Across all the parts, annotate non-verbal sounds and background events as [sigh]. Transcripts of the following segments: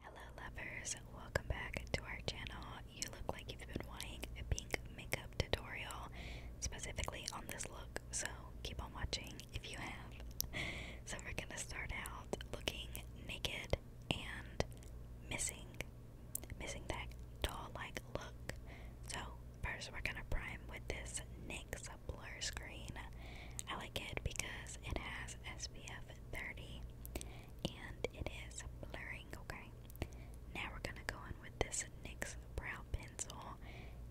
Hello lovers, welcome back to our channel. You look like you've been wanting a pink makeup tutorial specifically on this look, so keep on watching if you have. So we're gonna start out looking naked and missing, missing that doll-like look. So first we're gonna prime with this NYX blur screen. I like it because it has SPF 30 and it is blurring, okay? Now we're gonna go in with this NYX brow pencil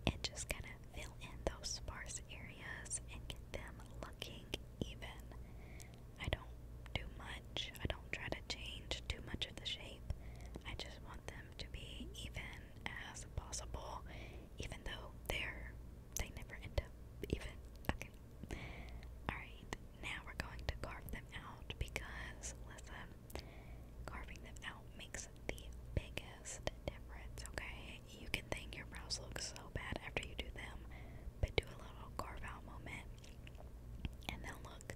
and just kind of fill in those sparse areas and get them looking even. I don't do much, I don't try to change too much of the shape. I just want them to be even as possible even though they're they never end up even. Okay. Alright, now we're going to carve them out because listen, carving them out makes the biggest difference, okay? You can think your brows look so bad after you do them, but do a little carve out moment and they'll look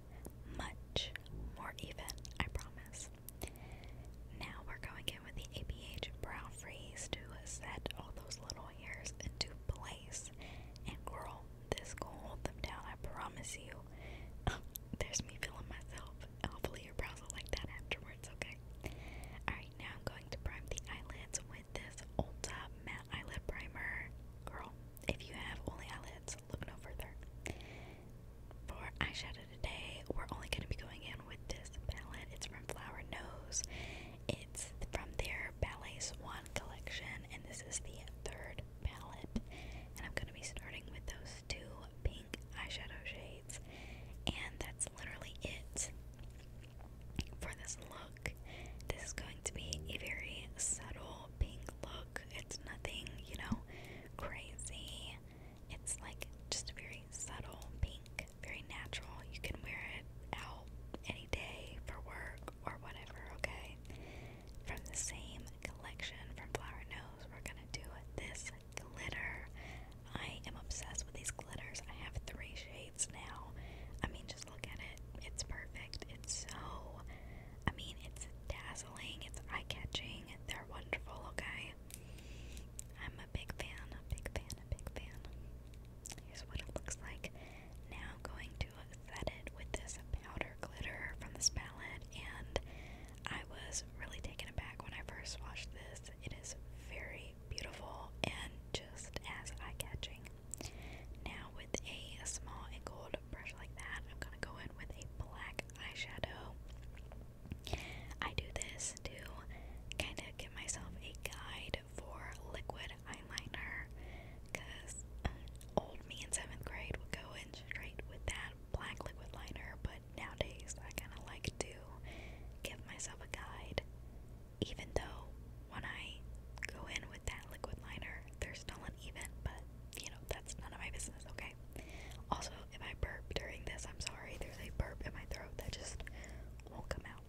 much more even, I promise. Now we're going with the ABH brow freeze to set all those little hairs into place. And girl, this will hold them down, I promise you. Um, there's me feeling myself. Hopefully your brows will like that afterwards, okay? Alright, now I'm going to prime the eyelids with this Ulta Matte Eyelid Primer. Girl, if you have only eyelids, look no further. For eyeshadow today we're only going to be going in with this palette. It's from Flower Nose. It's from their Ballets One collection, and this is the third palette. And I'm going to be starting with those two pink eyeshadow shades, and that's literally it for this look. This is going to be a very subtle pink look. It's nothing, you know, crazy. It's like just a very subtle pink, very natural. You can wear it out any day for work or whatever, okay? From the same collection from Flower Nose, we're gonna do this glitter. I am obsessed with these glitters. I have three shades now. I mean, just look at it. It's perfect. It's so, I mean, it's dazzling. It's eye catching. They're wonderful, okay? a big fan, a big fan, a big fan. Here's what it looks like. Now I'm going to set it with this powder glitter from this palette, and I was really taken aback when I first watched this. It is very beautiful and just as eye-catching. Now with a small and gold brush like that, I'm gonna go in with a black eyeshadow. I do this to kind of give myself a guide for liquid eyeliner because uh, old me in seventh grade would go in straight with that black liquid liner, but nowadays I kind of like to give myself a guide, even though when I go in with that liquid liner, they're still uneven, but you know, that's none of my business, okay? Also, if I burp during this, I'm sorry. There's a burp in my throat that just won't come out.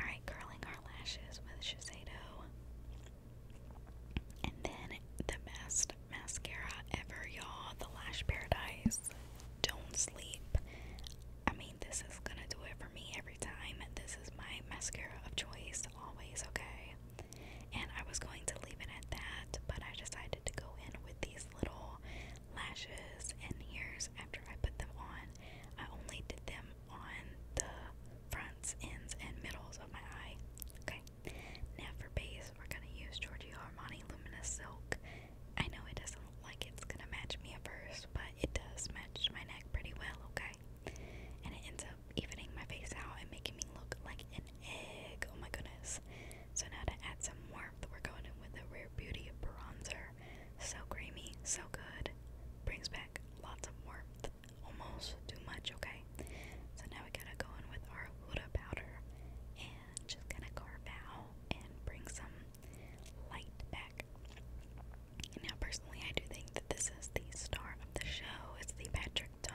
Alright, curling our lashes with Shiseido. And then the best mascara ever, y'all. The Lash Paradise. Don't sleep. I mean, this is gonna do it for me every time. This is my mascara of choice, always, okay? And I was going to leave it at that, but I decided to go in with these little lashes and ears after I put them on. I only did them on the fronts, ends, and middles of my eye. Okay, now for base, we're going to use Giorgio Armani Luminous Silk. I know it doesn't look like it's going to match me at first, but it does match my neck pretty well, okay? And it ends up evening my face out and making me look like an egg. Oh my goodness. So now to add some warmth, we're going in with a Rare Beauty bronzer. So creamy, so good. Brings back lots of warmth. Almost too much, okay? So now we gotta go in with our Huda powder and just gonna carve out and bring some light back. Now, personally, I do think that this is the star of the show. It's the Bad District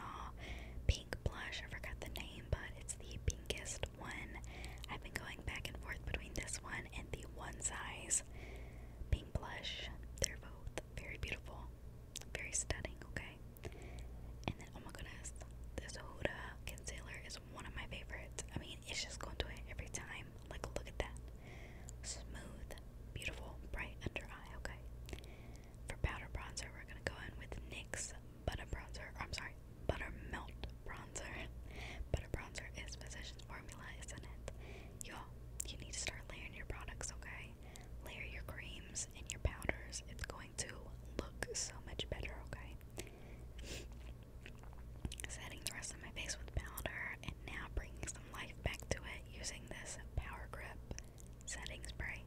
pink blush. I forgot the name, but it's the pinkest one. I've been going back and forth between this one and the One Size pink blush. They're both very beautiful, very stunning, okay? And then, oh my goodness, this Huda concealer is one of my favorites. I mean, it's just going to it every time. Like, look at that. Smooth, beautiful, bright under eye, okay? For powder bronzer, we're gonna go in with NYX Butter Bronzer, I'm sorry, butter melt Bronzer. [laughs] Butter Bronzer is Physicians Formula, isn't it? Y'all, you need to start layering your products, okay? Layer your creams and your powders. It's going to look so much better, okay? [laughs] Setting the rest of my face with powder, and now bringing some life back to it using this Power Grip setting spray.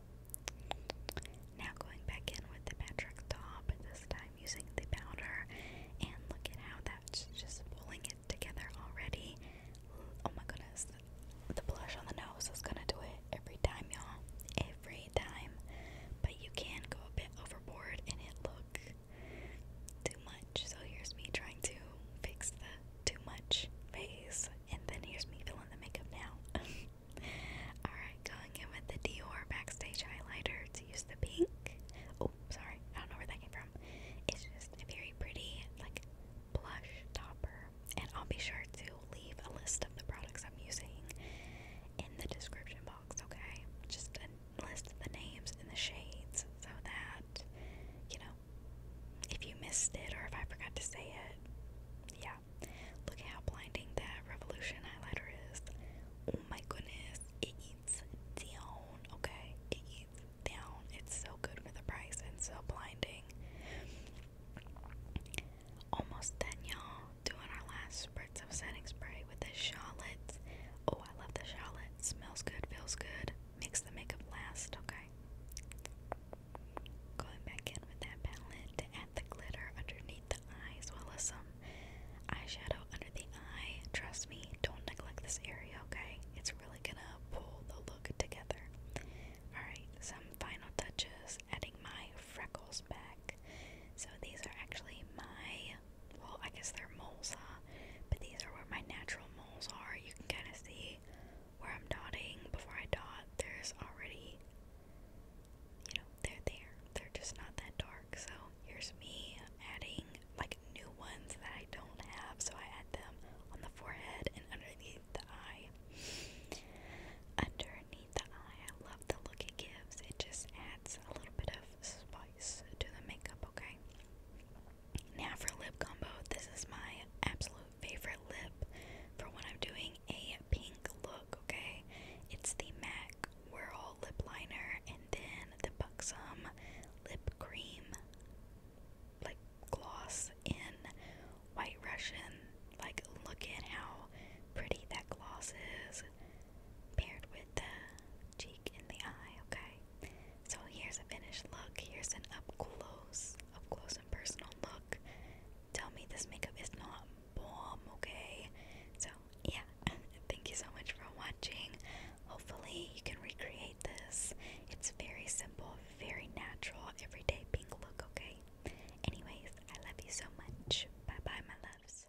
Now going back in with the Patrick Top, this time using the powder, and look at how that's just pulling it together already. Oh my goodness, the, blush on the nose is gonna do it every time, y'all. Every time. But you can go a bit overboard and it look too much. So here's me trying to fix the too much phase, and then here's me filling the makeup now. [laughs] Alright, going in with the Dior Backstage Highlighter to use the pink. Oh, sorry, I don't know where that came from. It's just a very pretty, like, blush topper. And I'll be sure to leave a list of the products I'm using in the description box, okay? Just a list of the names and the shades so that, you know, if you missed it or if I forgot to say it. Yeah. Look how blinding that Revolution highlighter is. Oh my goodness. It down. Okay. It down. It's so good for the price and so blinding. Almost done, y'all. Doing our last spritz of setting spray with the Charlotte. Oh, I love the Charlotte. Smells good, feels good makes the makeup last, okay? Going back in with that palette to add the glitter underneath the eye as well as some eyeshadow under the eye. Trust me, don't neglect this area, okay? It's really gonna pull the look together. Alright, some final touches, adding my freckles back. So these are actually my well, I guess they're moles, huh? But these are where my natural moles are. You can kind of see where I'm dotting. Before I dot, there's already, you know, they're there. They're just not that dark. So here's me adding like new ones that I don't have. So I add them on the forehead and underneath the eye. Underneath the eye, I love the look it gives. It just adds a little bit of spot advice the makeup, okay? Now for lip combo, this is my absolute favorite lip for when I'm doing a pink look, okay? It's the MAC Whirl Lip Liner and then the Buxom Lip Cream, like gloss in White Russian. Like, look at how pretty that gloss is paired with the cheek and the eye, okay? So here's a finished look. Here's an up close, up close and personal look. Tell me this makeup is not bomb, okay? So, yeah, [laughs] thank you so much for watching. Hopefully, you can recreate this. It's very simple, very natural, everyday pink look, okay? Anyways, I love you so much. Bye bye, my loves.